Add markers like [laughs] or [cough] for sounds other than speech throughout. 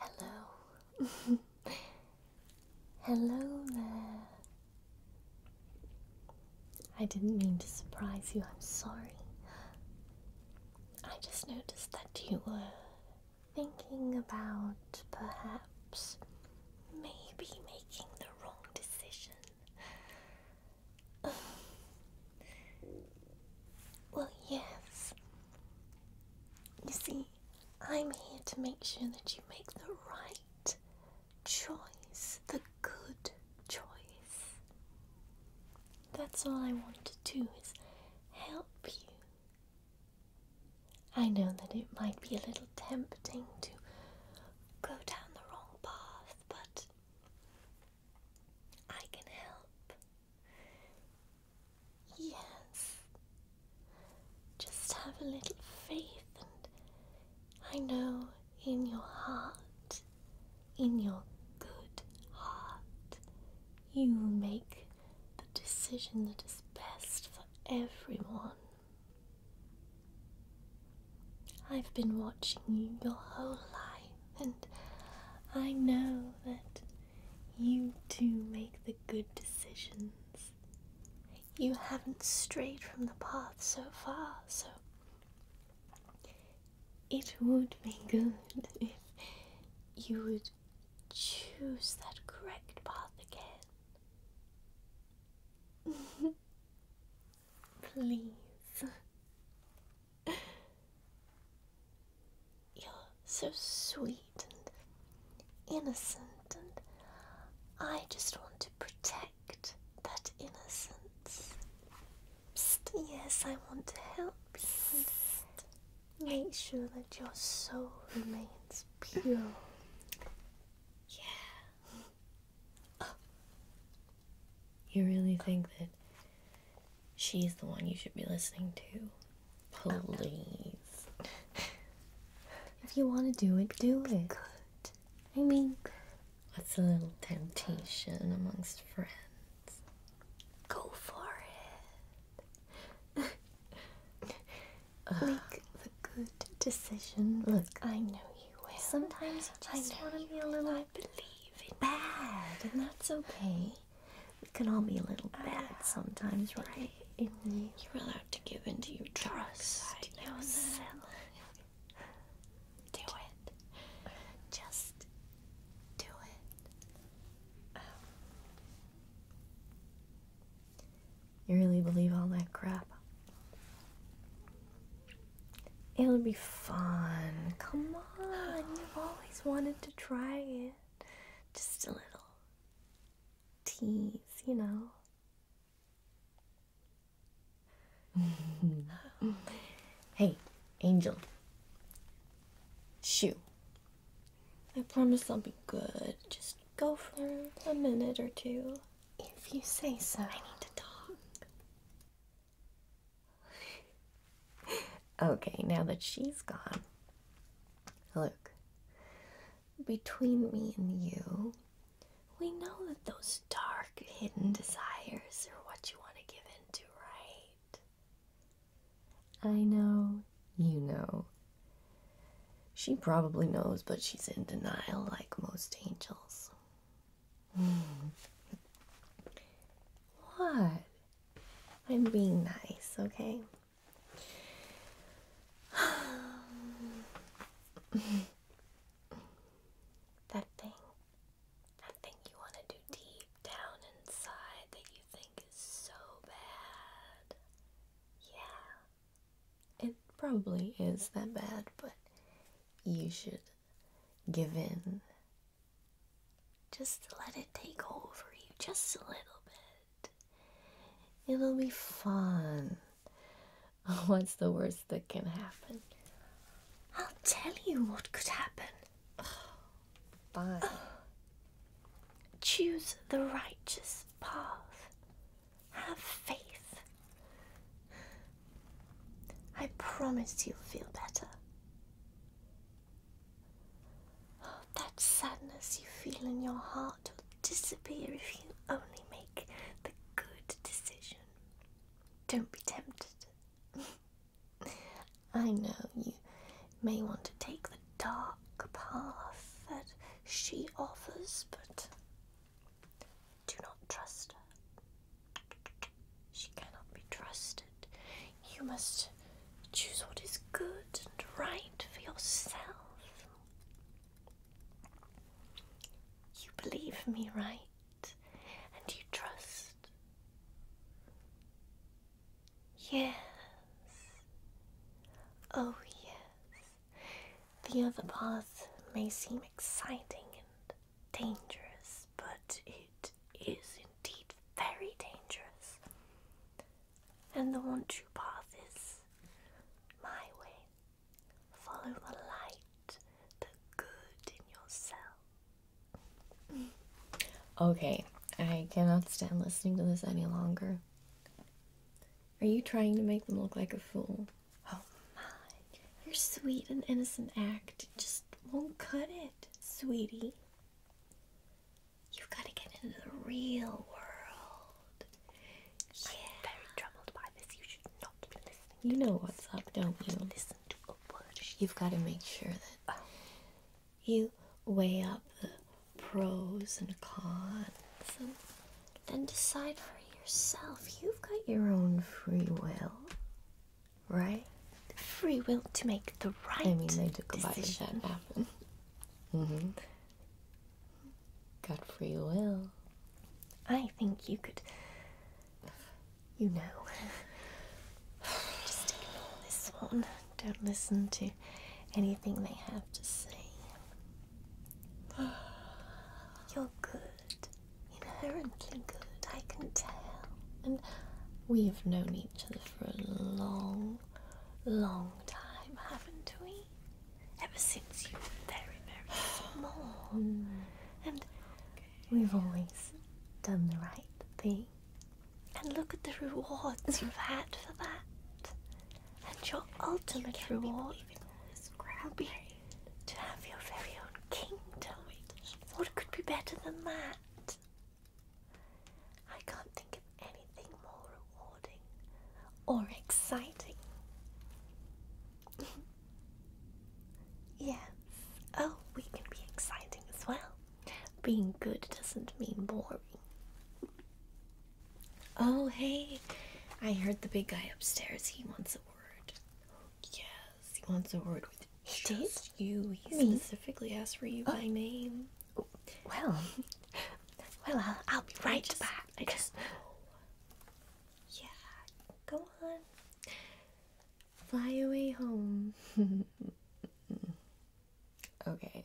Hello. [laughs] Hello there. I didn't mean to surprise you, I'm sorry. I just noticed that you were thinking about perhaps maybe making the wrong decision. [sighs] Well, yes. You see, I'm here to make sure that you make the right choice, the good choice. That's all I want to do is help you. I know that it might be a little tempting to go down the wrong path, but I can help. Yes. Just have a little faith, and I know in your heart, in your good heart, you make the decision that is best for everyone. I've been watching you your whole life, and I know that you do make the good decisions. You haven't strayed from the path so far, so it would be good [laughs] if you would choose that correct path again. [laughs] Please. You're so sweet and innocent, and I just want to protect that innocence. yes, I want to help you and make sure that your soul remains pure. Yeah. You really think that she's the one you should be listening to? Please. If you want to do it, do it. I mean, it's a little temptation amongst friends? Go for it. [laughs] good decision. Look, I know you will. Sometimes you just want to be a little I believe in bad, and that's okay. We can all be a little bad ah, sometimes, right? you. are allowed to give into your trust do it. Just do it. you really believe all that crap? It'll be fun. Come on. You've always wanted to try it. Just a little tease, you know. [laughs] hey, Angel. Shoo. I promise I'll be good. Just go for a minute or two. If you say so. I need to talk. [laughs] okay, now that she's gone, look. Between me and you, we know that those dark, hidden desires are what you want to give in to, right? I know, you know. She probably knows, but she's in denial like most angels. Hmm. what? I'm being nice, okay? [sighs] that thing, that thing you want to do deep down inside that you think is so bad. Yeah, it probably is that bad, but you should give in. Just let it take over you just a little bit. It'll be fun. [laughs] What's the worst that can happen? I'll tell you what could happen. Bye. [sighs] Choose the righteous path. Have faith. I promise you'll feel better. that sadness you feel in your heart will disappear if you only make the good decision. Don't be tempted. [laughs] I know you may want to take the dark path that she offers, but do not trust her. She cannot be trusted. You must choose what is good and right for yourself. You believe me, right? And you trust. Yes. Oh, yes. The other path may seem exciting and dangerous, but it is indeed very dangerous. And the one true path is my way. Follow the light, the good in yourself. Okay, I cannot stand listening to this any longer. Are you trying to make them look like a fool? Oh my, your sweet and innocent act just won't cut it, sweetie. You've got to get into the real world. I'm very troubled by this. You should not be listening. You know what's up, don't you? Listen to a word. You've got to make sure that oh. you weigh up the pros and cons and then decide for yourself. You've got your own free will, right? Free will to make the right. I mean, they took a bite of that apple. Mm-hmm. Got free will. I think you could. You know. Just ignore this one. Don't listen to anything they have to say. You're good inherently good, I can tell. And we have known each other for a long, long time, haven't we? Ever since you were very, very small. And we've always done the right thing. And look at the rewards you've had for that. And your ultimate reward will be to have your very own kingdom. What could be better than that? I can't think of anything more rewarding or exciting. [laughs] yes. Oh, we can be exciting as well. Being good doesn't mean boring. Oh, hey, I heard the big guy upstairs. He wants a word. Yes, he wants a word with Did you. He specifically asked for you oh. by name. Well, well, I'll, be right back. I just Yeah, go on. Fly away home. [laughs] okay,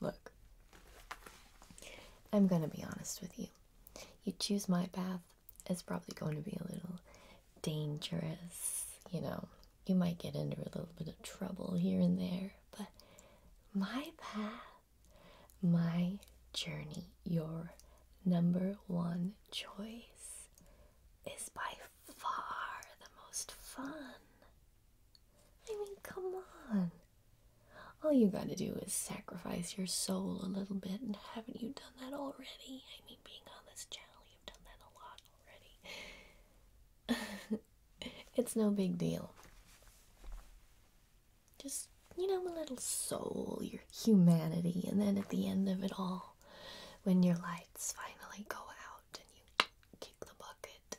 look. I'm gonna be honest with you. You choose my path it's probably going to be a little dangerous. You know, you might get into a little bit of trouble here and there, but my path, my journey, your number one choice is by far the most fun. I mean, come on. All you gotta do is sacrifice your soul a little bit, and haven't you done that already? I mean, being on this channel, you've done that a lot already. [laughs] it's no big deal. Just, you know, a little soul, your humanity, and then at the end of it all, when your lights finally go out and you kick the bucket,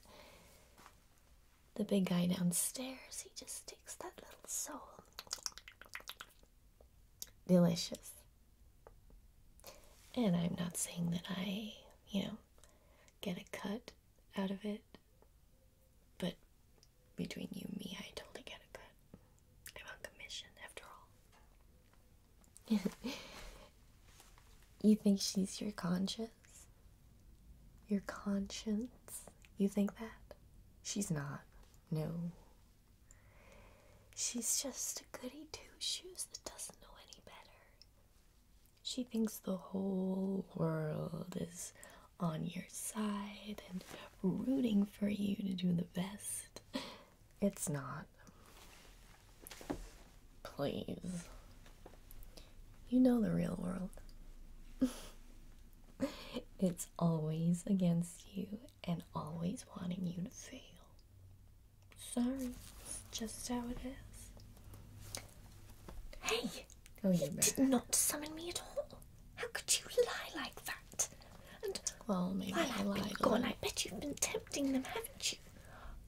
the big guy downstairs, he just takes that little soul delicious. And I'm not saying that I, you know, get a cut out of it, but between you and me, I totally get a cut. I'm on commission after all. [laughs] you think she's your conscience? Your conscience? You think that? She's not. No, She's just a goody two shoes that doesn't know any better. She thinks the whole world is on your side and rooting for you to do the best. It's not. Please. You know the real world. [laughs] it's always against you and always wanting you to fail. Sorry, it's just how it is. Hey! Oh, you did not summon me at all. How could you lie like that? And well, maybe while I lied. Been gone, I bet you've been tempting them, haven't you?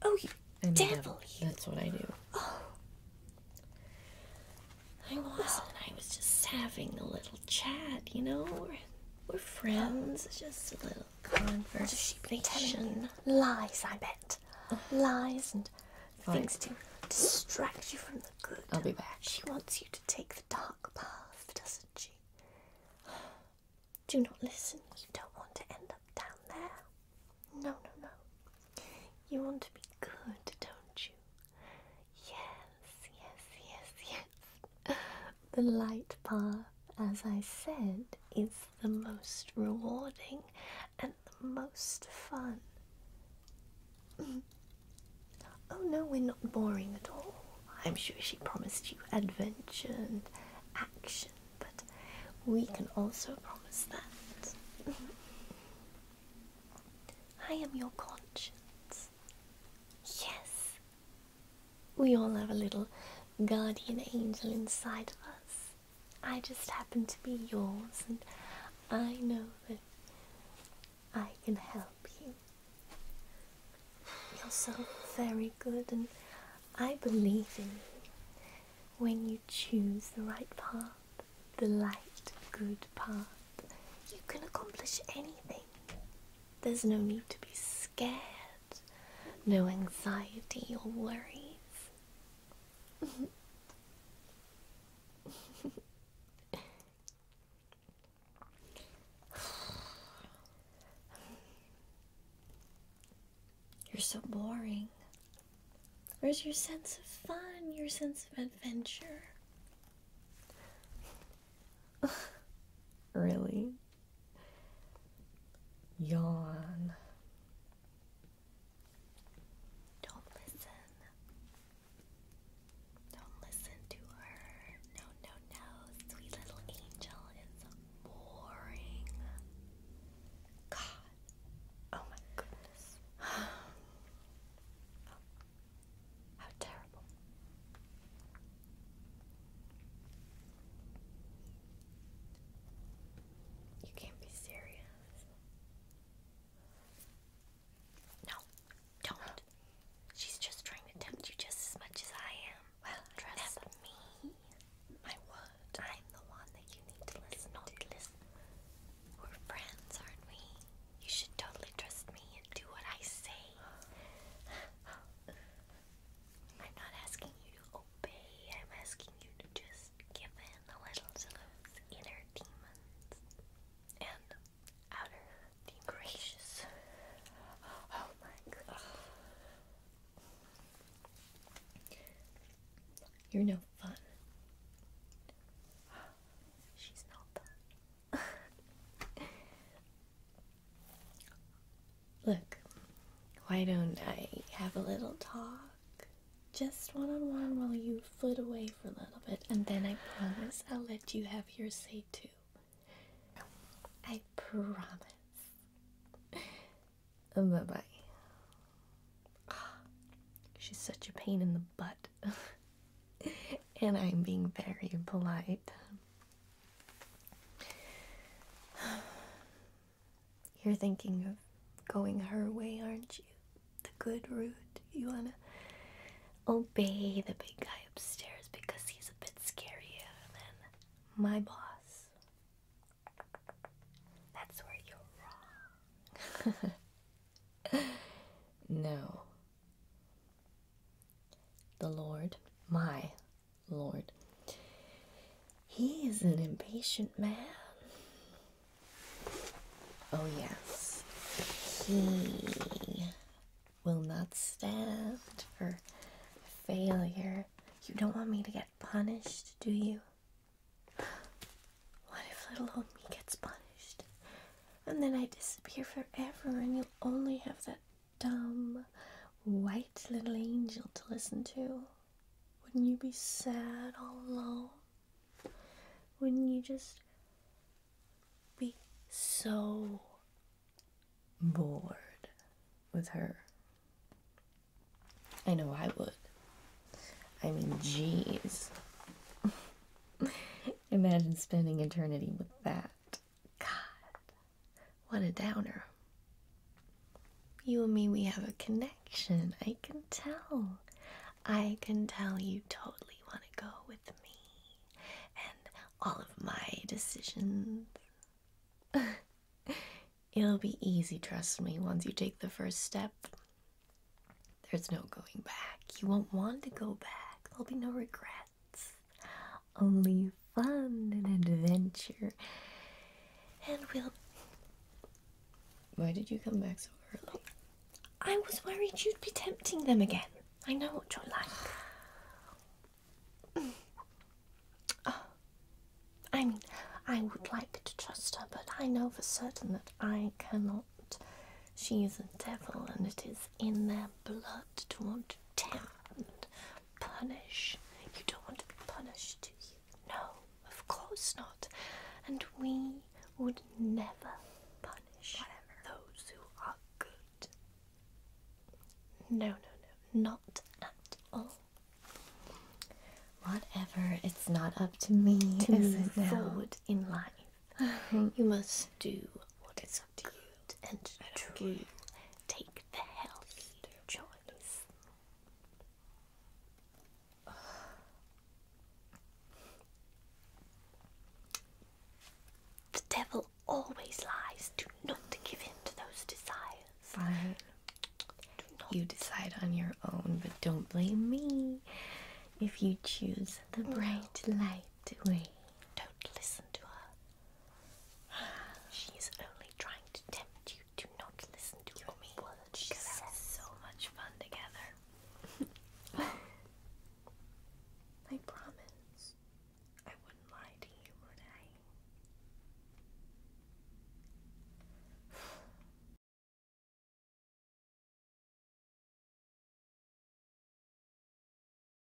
Oh, you devil! You. That's what I do. Oh, I was, oh. I was just having a little chat, you know. We're friends. Just a little conversation. She's lies, I bet. Lies and things to distract you from the good. I'll be back. She wants you to take the dark path, doesn't she? Do not listen. You don't want to end up down there. No, no, no. You want to be good, don't you? Yes, yes, yes, yes. [laughs] The light path, as I said, is the most rewarding and the most fun. Mm. oh no, we're not boring at all. I'm sure she promised you adventure and action, but we can also promise that. [laughs] I am your conscience. Yes, we all have a little guardian angel inside of us. I just happen to be yours, and I know that I can help you. You're so very good, and I believe in you. When you choose the right path, the light, good path, you can accomplish anything. There's no need to be scared, no anxiety or worries. [sighs] You're so boring. Where's your sense of fun, your sense of adventure? [laughs] really? Yawn. Don't listen. Don't listen to her. No, no, no. Sweet little angel is boring. God. Oh my goodness. [sighs] Oh. How terrible. You can't be serious. No, don't. She's just trying to tempt you just as much as I am. Well, trust me. My word. I'm the one that you need to listen to. We're friends, aren't we? You should totally trust me and do what I say. [sighs] [sighs] I'm not asking you to obey, I'm asking you to just give in a little to those inner demons and outer demons. Oh my god. You're no fun. She's no fun. [laughs] Look, why don't I have a little talk? Just one on one while you flit away for a little bit, and then I promise I'll let you have your say too. I promise. Oh, bye bye. she's such a pain in the butt. [laughs] and I'm being very polite. [sighs] You're thinking of going her way, aren't you? The good route. You want to obey the big guy upstairs because he's a bit scarier than my boss. That's where you're wrong. [laughs] no, the Lord, my Lord, he is an impatient man. Oh, yes, he will not stand for failure. You don't want me to get punished, do you? What if little old me gets punished? And then I disappear forever, and you'll only have that dumb, white little angel to listen to? Wouldn't you be sad all alone? Wouldn't you just be so bored with her? I know I would. I mean, jeez. [laughs] Imagine spending eternity with that. God, what a downer. You and me, we have a connection. I can tell. I can tell you totally want to go with me and all of my decisions. [laughs] It'll be easy, trust me, once you take the first step. There's no going back. You won't want to go back. There'll be no regrets. Only fun and adventure. And we'll. Why did you come back so early? I was worried you'd be tempting them again. I know what you're like. [sighs] Oh, I mean, I would like to trust her, but I know for certain that I cannot. She is a devil, and it is in their blood to want to down, punish. You don't want to be punished, do you? No, of course not. And we would never punish Whatever. those who are good. No, no, no, not at all. Whatever, it's not up to me to move forward in life. [sighs] you must do what what is it's to And Drew, take the healthy choice. The devil always lies. Do not give in to those desires. Right. You decide on your own, but don't blame me if you choose the bright light way. Don't listen to her. She's only trying to tempt you to not listen to me. Words she says. so much fun together. [laughs] I promise I wouldn't lie to you, would I?